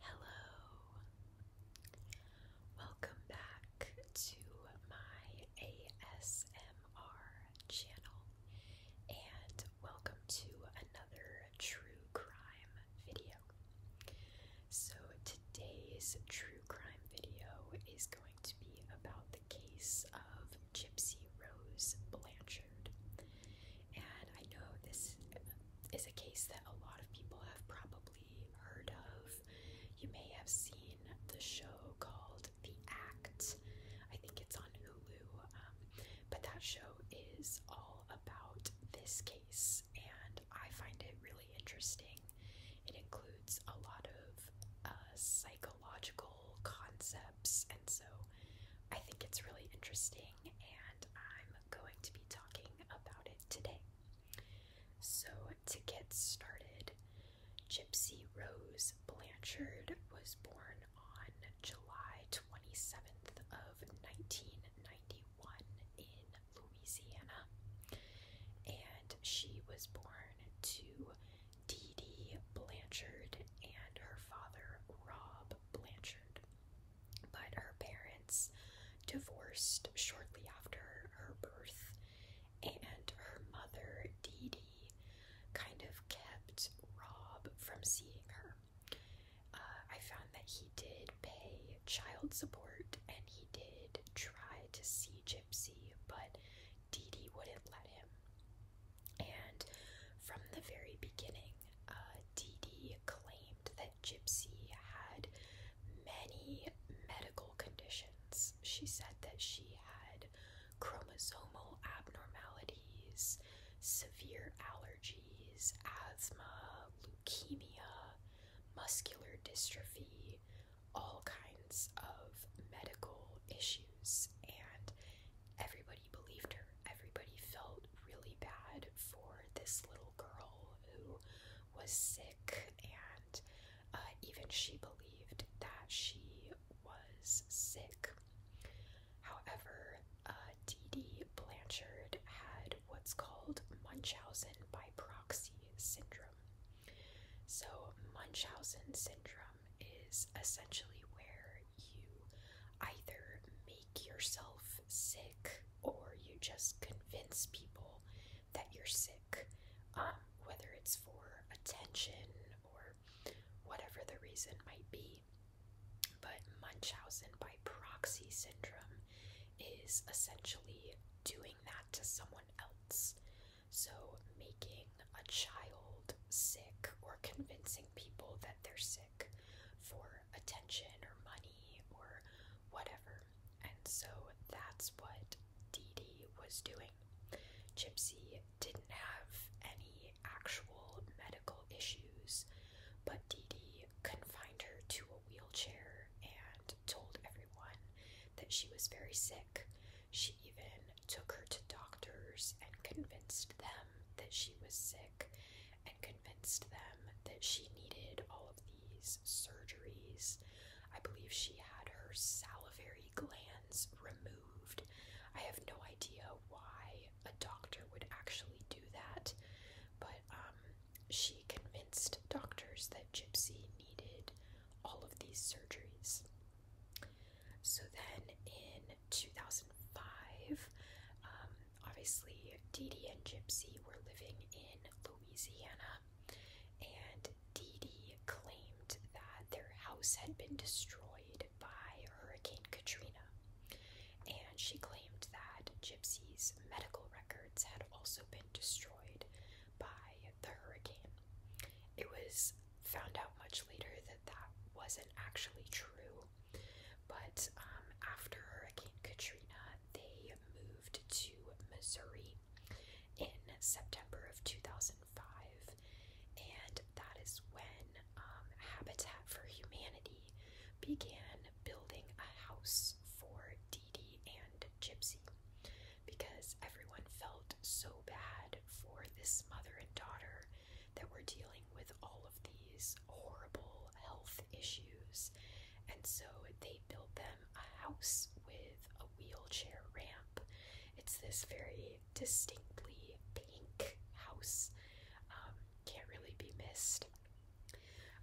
Hello. Welcome back to my ASMR channel and welcome to another true crime video. So today's true crime video is going to be about the case of Gypsy Rose Blanchard. And I know this is a case that a lot of people have probably heard of. You may have seen the show called The Act. I think it's on Hulu, um, but that show is all about this case, and I find it really interesting. It includes a lot of uh, psychological concepts, and so I think it's really interesting and I'm going to be talking about it today. So, to get started, Gypsy Rose Blanchard was born on July 27th of 1991 in Louisiana, and she was born to Dee Dee Blanchard and her father Rob Blanchard but her parents divorced shortly after her birth, and her mother, Dee Dee, kind of kept Rob from seeing her. Uh, I found that he did pay child support and he did try to see Gypsy, but Dee Dee wouldn't let him. And from the very beginning, uh, Dee Dee claimed Gypsy had many medical conditions. She said that she had chromosomal abnormalities, severe allergies, asthma, leukemia, muscular dystrophy, all kinds of medical issues, and everybody nobody believed her. Everybody felt really bad for this little girl who was sick, and uh, even she believed that she was sick. However, uh, Dee Dee Blanchard had what's called Munchausen by proxy syndrome. So, Munchausen syndrome is essentially where you either make yourself sick or you just convince people that you're sick, um, whether it's for attention or whatever the reason might be. But Munchausen by proxy syndrome is essentially doing that to someone else. So making a child sick or convincing people that they're sick for attention or money or whatever. And so that's what Dee Dee was doing. Gypsy didn't have any actual medical issues, but Dee Dee confined her to a wheelchair and told everyone that she was very sick. She even took her to doctors and convinced them that she was sick and convinced them that she needed all of these surgeries. I believe she had her salivary glands removed. I have no idea why a doctor would actually do that, but um, she convinced doctors that Gypsy needed all of these surgeries. So then in 2005, um, obviously, Dee Dee and Gypsy were living in Louisiana, and Dee Dee claimed that their house had been destroyed by Hurricane Katrina. And she claimed that Gypsy's medical records had also been destroyed by the hurricane. It was found out much later that that wasn't actually true, but um, after Hurricane Katrina, they moved to Missouri in September of 2005, and that is when um, Habitat for Humanity began building a house for Dee Dee and Gypsy because everyone felt so bad for this mother and daughter that we're dealing with all of these horrible health issues. And so they built them a house with a wheelchair ramp. It's this very distinctly pink house. Um, can't really be missed.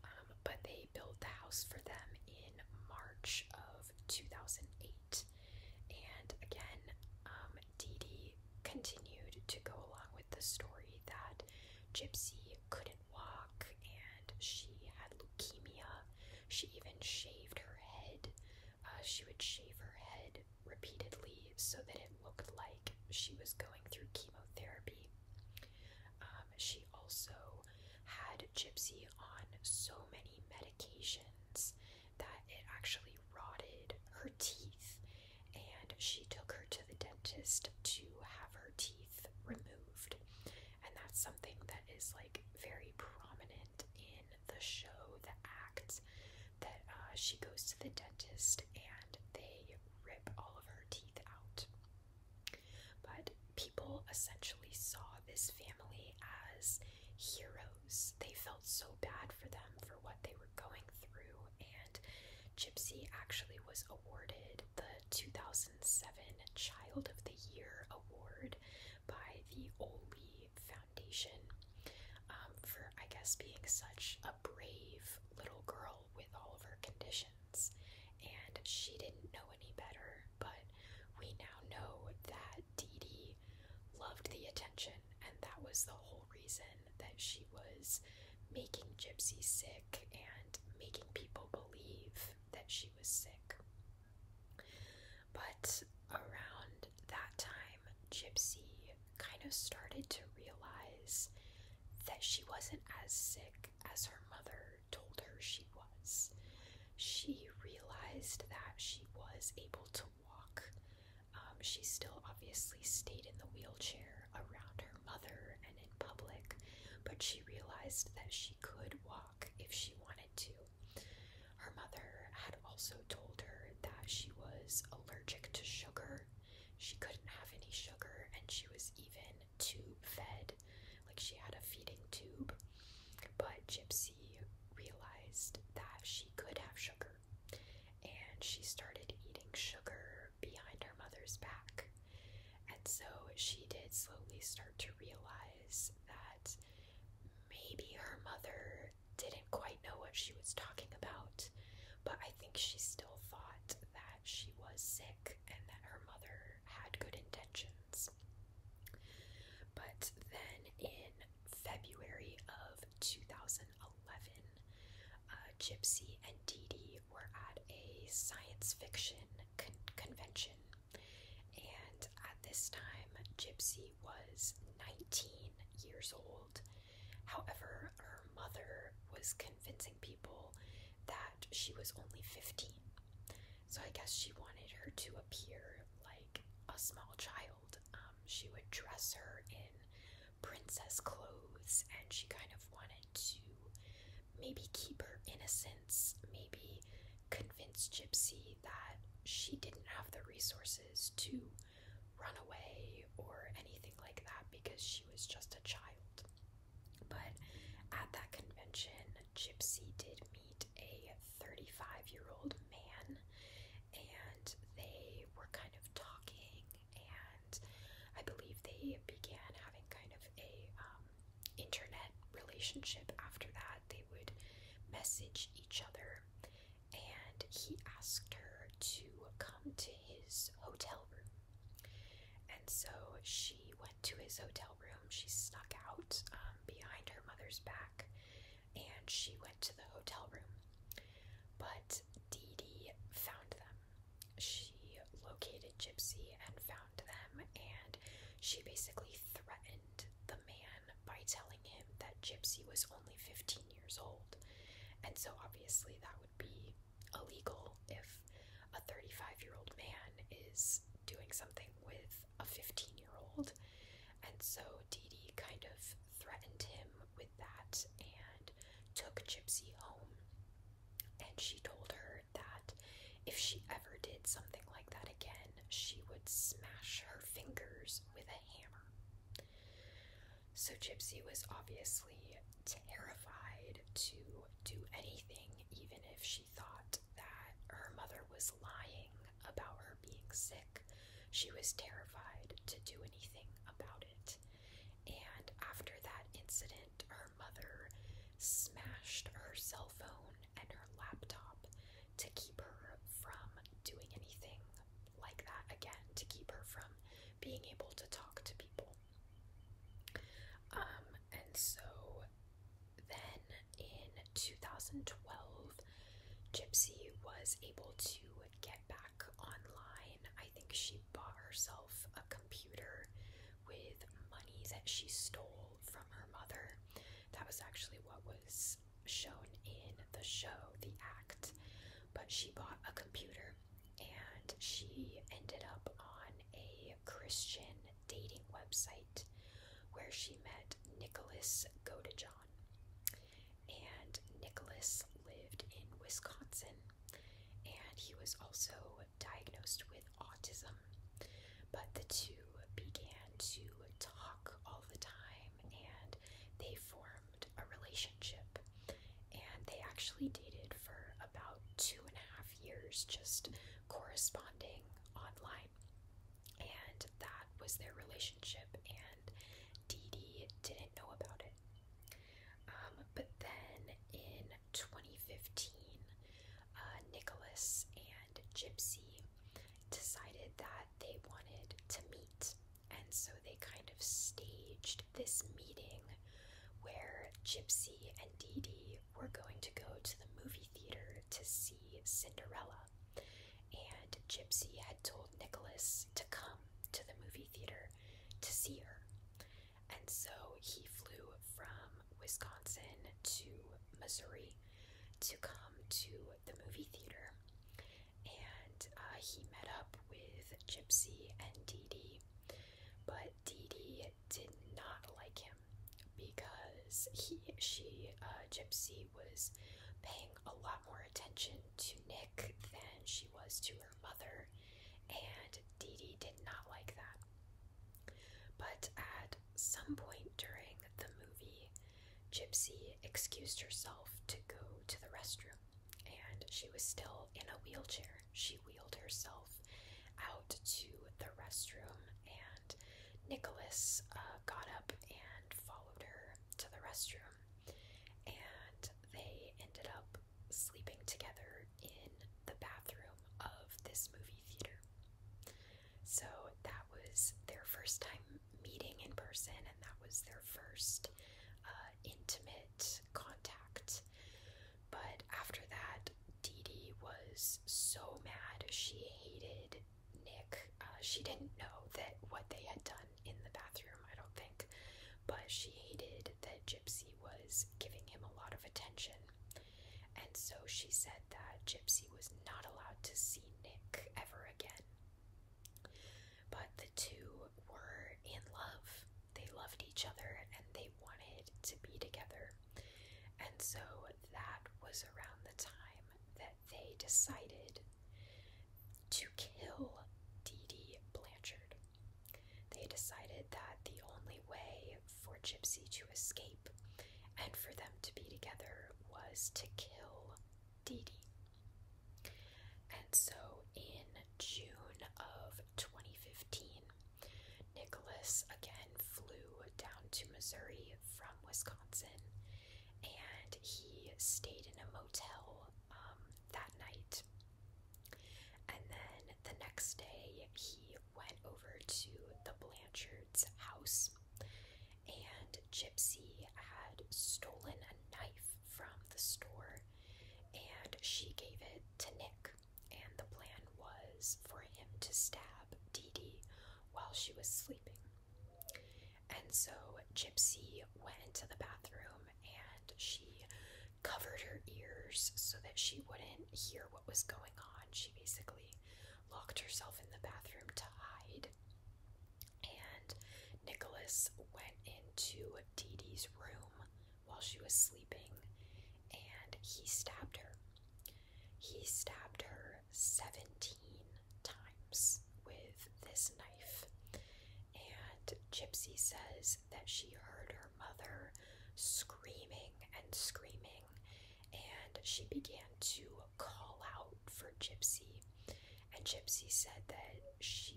Um, but they built the house for them in March of 2008. And again, um, Dee Dee continued to go along with the story that Gypsy couldn't walk and she had leukemia. She even shaved her head. Uh, she would shave her head repeatedly so that it looked like she was going through chemotherapy. Um, she also had Gypsy on so many medications that it actually rotted her teeth and she took her to the dentist to have her teeth removed. And that's something that is like very prominent in the show, The acts that uh, she goes to the dentist and they rip all of her teeth out. But people essentially saw this family as heroes. They felt so bad for them for what they were going through and Gypsy actually was awarded the 2007 Child of the Year award by the Oli Foundation um, for, I guess, being such a brave little girl with all of her conditions. And she didn't know any better, but we now know that Dee Dee loved the attention and that was the whole reason that she was making Gypsy sick and making people believe that she was sick. But around that time, Gypsy kind of started to realize that she wasn't as sick as her mother told her she was. She realized that she was able to walk um, she still obviously stayed in the wheelchair around her mother and in public, but she realized that she could walk if she wanted to. Her mother had also told her that she was allergic to sugar. She couldn't have any sugar, and she was even tube fed, like she had a feeding tube. But Gypsy realized that she could have sugar and she started eating sugar behind her mother's back. And so she did slowly start to realize that maybe her mother didn't quite know what she was talking about, but I think she still thought that she was sick and that her mother had good intentions. But then in February of 2009, uh, Gypsy and Dee Dee were at a science fiction convention, and at this time, Gypsy was 19 years old. However, her mother was convincing people that she was only 15, so I guess she wanted her to appear like a small child. Um, she would dress her in princess clothes and she kind of wanted to maybe keep her innocence, maybe convince Gypsy that she didn't have the resources to run away or anything like that because she was just a child. But at that convention, Gypsy did meet a 35 year old man and they were kind of talking and I believe they began having kind of a um, internet relationship after that. They would message each other, and he asked her to come to his hotel room. And so she went to his hotel room. She snuck out um, behind her mother's back, and she went to the hotel room. But Dee Dee found them. She located Gypsy and found them, and she basically threatened the man by telling him that Gypsy was only 15 years old. And so, obviously, that would be illegal if a 35 year old man is doing something with a 15 year old. And so, Dee Dee kind of threatened him with that and took Gypsy home. And she told her that if she ever did something like that again, she would smash her fingers with a hammer. So Gypsy was obviously terrified to do anything, even if she thought that her mother was lying about her being sick. She was terrified to do anything about it. And after that incident, her mother smashed her cell phone and her laptop to keep her from doing anything like that again, to keep her from being able to talk to people. Um, and so then in 2012, Gypsy was able to get back online. I think she bought herself a computer with money that she stole from her mother. That was actually what was shown in the show, The Act. But she bought a computer and she ended up on a Christian dating website where she met Nicholas Godejohn and Nicholas lived in Wisconsin, and he was also diagnosed with autism. But the two began to talk all the time, and they formed a relationship. And they actually dated for about two and a half years, just corresponding online. And that was their relationship, and Dee Dee didn't know about it. Um, but then in 2015, uh, Nicholas and Gypsy decided that they wanted to meet, and so they kind of staged this meeting where Gypsy and Dee Dee were going to go to the movie theater to see Cinderella and Gypsy had told Nicholas to come to the movie theater to see her. And so he flew from Wisconsin to Missouri to come to the movie theater. And uh, he met up with Gypsy and Dee Dee. But Dee Dee did not like him because he, she, uh, Gypsy was paying a lot more attention to Nick than she was to her mother, and Dee Dee did not like that. But at some point during the movie, Gypsy excused herself to go to the restroom, and she was still in a wheelchair. She wheeled herself out to the restroom, and Nicholas uh, got up and followed her to the restroom and they ended up sleeping together in the bathroom of this movie theater. So that was their first time meeting in person, and that was their first uh, intimate contact. But after that, Dee Dee was so mad. She hated Nick. Uh, she didn't know that what they had done in the bathroom, I don't think, but she hated that Gypsy was giving him a lot of attention. And so she said that Gypsy was not allowed to see Nick ever again. But the two were in love. They loved each other and they wanted to be together. And so that was around the time that they decided to kill Dee Dee Blanchard. They decided that the only way for Gypsy to escape and for them to be together was to kill Dee Dee. And so in June of 2015, Nicholas again flew down to Missouri from Wisconsin and he stayed in a motel um, that night. And then the next day, he went over to the Blanchard's house, and Gypsy had stolen a knife from the store, and she gave it to Nick. And the plan was for him to stab Dee Dee while she was sleeping. And so Gypsy went into the bathroom and she covered her ears so that she wouldn't hear what was going on. She basically locked herself in the bathroom to hide. And Nicholas went into Dee Dee's room while she was sleeping and he stabbed her. He stabbed her 17 times with this knife. And Gypsy says that she heard her mother screaming and screaming, and she began to call out for Gypsy. And Gypsy said that she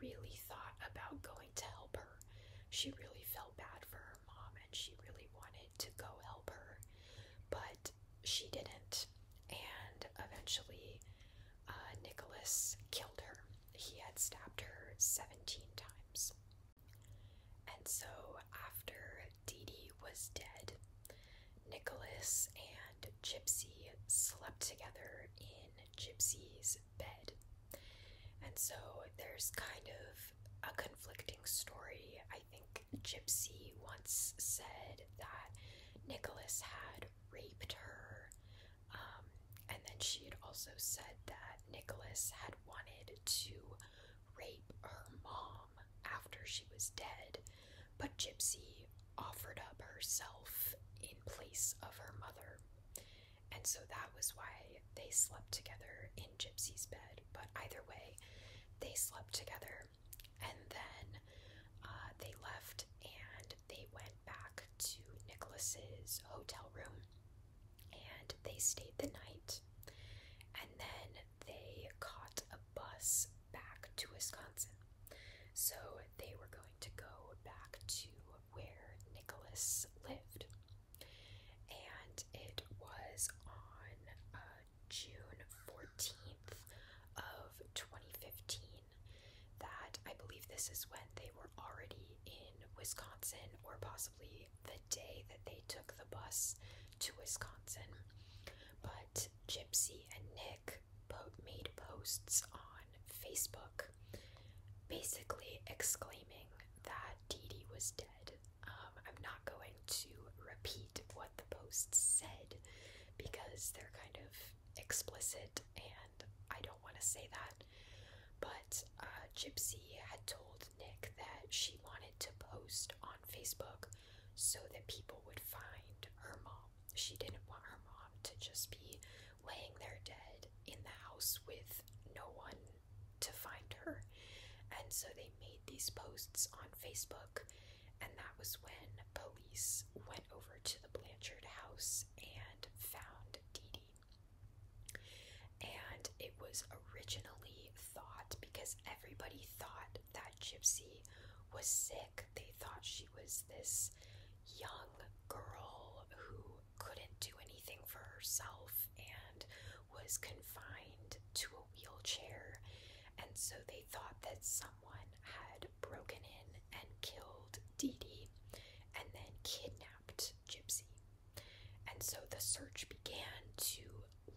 really thought about going to help her. She really felt bad for her mom and she really wanted to go help her, but she didn't. And eventually, uh, Nicholas killed her. He had stabbed her 17 times. And so, after Dee Dee was dead, Nicholas and Gypsy slept together in Gypsy's bed. And so, there's kind of a conflicting story. I think Gypsy once said that Nicholas had raped her. Um, and then she had also said that Nicholas had wanted to rape her mom after she was dead, but Gypsy offered up herself in place of her mother. And so that was why they slept together in Gypsy's bed. But either way, they slept together and then uh, they left and they went back to Nicholas's hotel room and they stayed the night and then they caught a bus back to Wisconsin. So they were going to go back to where Nicholas lived. And it was on uh, June 14th of 2015 that I believe this is when they were already in Wisconsin or possibly the day that they took the bus to Wisconsin. But Gypsy and Nick po made posts on Facebook basically exclaiming that Dee Dee was dead. Um, I'm not going to repeat what the posts said because they're kind of explicit and I don't want to say that. But uh, Gypsy had told Nick that she wanted to post on Facebook so that people would find her mom. She didn't want her mom to just be laying there dead in the house with no one to find her. And so they made these posts on Facebook, and that was when police went over to the Blanchard house and found Dee Dee. And it was originally thought because everybody thought that Gypsy was sick. They thought she was this young girl who couldn't do anything for herself and was confined to a wheelchair. And so they thought that someone had broken in and killed Dee Dee and then kidnapped Gypsy. And so the search began to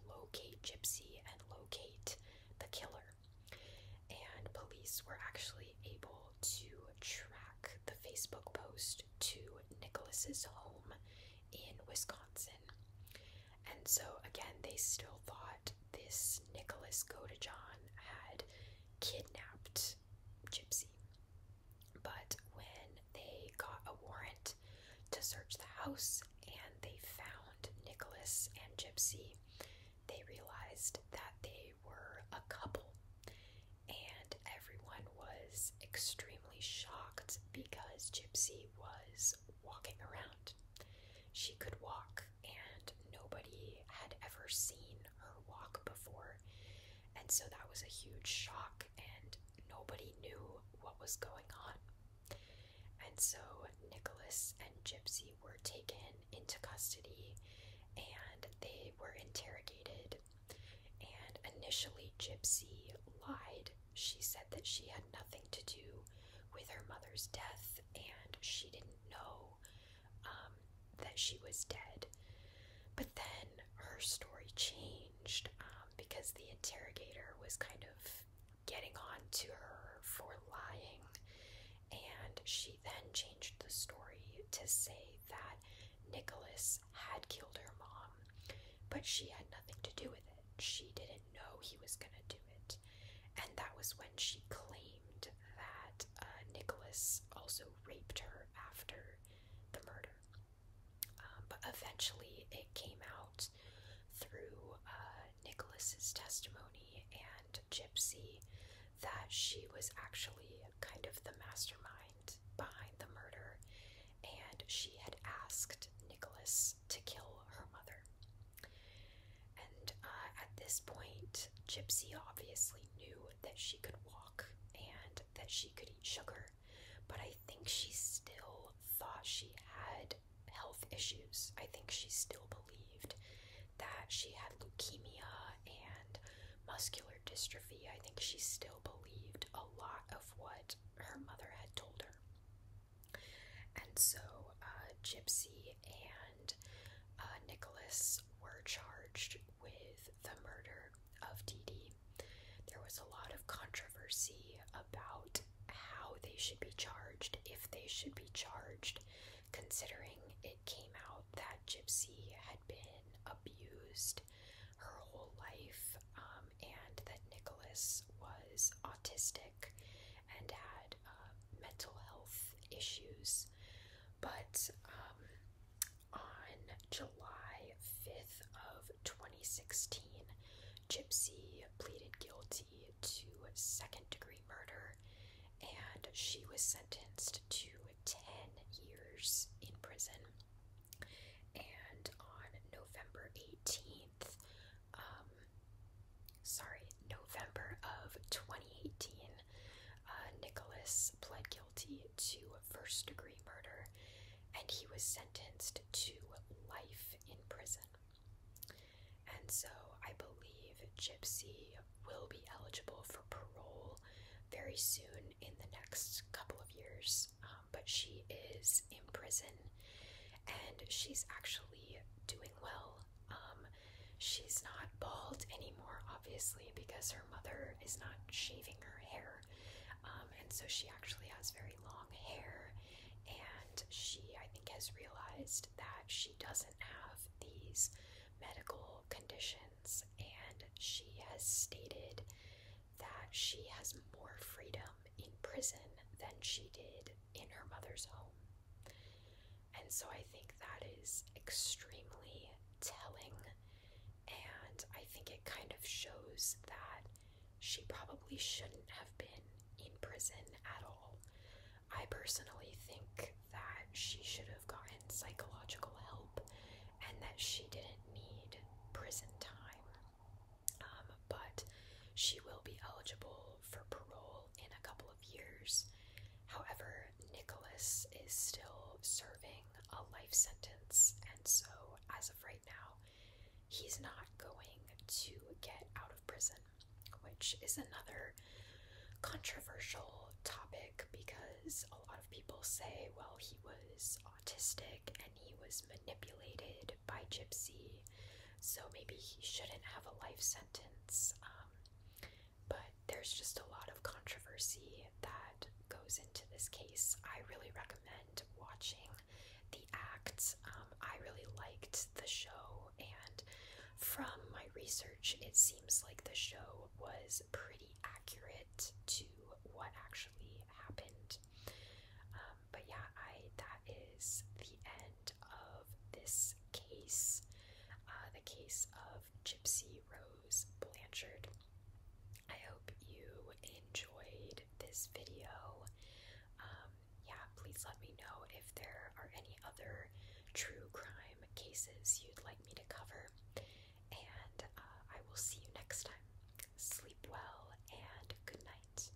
locate Gypsy and locate the killer. And police were actually able to track the Facebook post to Nicholas's home in Wisconsin. And so, again, they still thought this Nicholas Godejohn had kidnapped Gypsy. But when they got a warrant to search the house and they found Nicholas and Gypsy, they realized that they were a couple. And everyone was extremely shocked because Gypsy was walking around. She could walk and nobody had ever seen her walk before. And so that was a huge shock, and nobody knew what was going on. And so Nicholas and Gypsy were taken into custody and they were interrogated. And initially, Gypsy lied. She said that she had nothing to do with her mother's death and she didn't know um, that she was dead. But then her story changed um, because the interrogator was kind of getting on to her for lying, and she then changed the story to say that Nicholas had killed her mom, but she had nothing to do with it. She didn't know he was going to do it. And that was when she claimed that uh, Nicholas also raped her after the murder. Um, but eventually it came out through uh, Nicholas's testimony and Gypsy that she was actually kind of the mastermind behind the murder and she had asked Nicholas to kill her mother. And uh, at this point, Gypsy obviously knew that she could walk and that she could eat sugar, but I think she still thought she had health issues. I think she still believed that she had leukemia and muscular dystrophy. I think she still believed a lot of what her mother had told her. And so uh, Gypsy and uh, Nicholas were charged with the murder of Dee There was a lot of controversy about how they should be charged, if they should be charged, considering it came out that Gypsy had been abused her whole life um, and that Nicholas was autistic and had um, mental health issues. But um, on July 5th of 2016, Gypsy pleaded guilty to second-degree murder, and she was sentenced to 10 years in prison. And on November 18th um, sorry, November of 2018, uh, Nicholas pled guilty to first degree murder and he was sentenced to life in prison. And so I believe Gypsy will be eligible for parole very soon in the next couple of years. Um, but she is in prison and she's actually doing well. Um, she's not bald anymore, obviously, because her mother is not shaving her hair. Um, and so she actually has very long hair, and she, I think, has realized that she doesn't have these medical conditions, and she has stated that she has more freedom in prison than she did in her mother's home. And so I think that is extremely telling. And I think it kind of shows that she probably shouldn't have been in prison at all. I personally think that she should have gotten psychological help and that she didn't need prison time. Um, but she will be eligible for parole in a couple of years. However, Nicholas is still serving a life sentence, and so as of right now, he's not going to get out of prison, which is another controversial topic because a lot of people say, well, he was autistic and he was manipulated by Gypsy, so maybe he shouldn't have a life sentence. Um, but there's just a lot of controversy that goes into this case. I really recommend watching the act. Um, I really liked the show, and from my research, it seems like the show was pretty accurate to what actually happened. Um, but yeah, I that is the end of this case, uh, the case of Gypsy Rose Blanchard. I hope you enjoyed this video. Um, yeah, please let me know if there are any other true crime cases you'd like me to cover. And uh, I will see you next time. Sleep well and good night.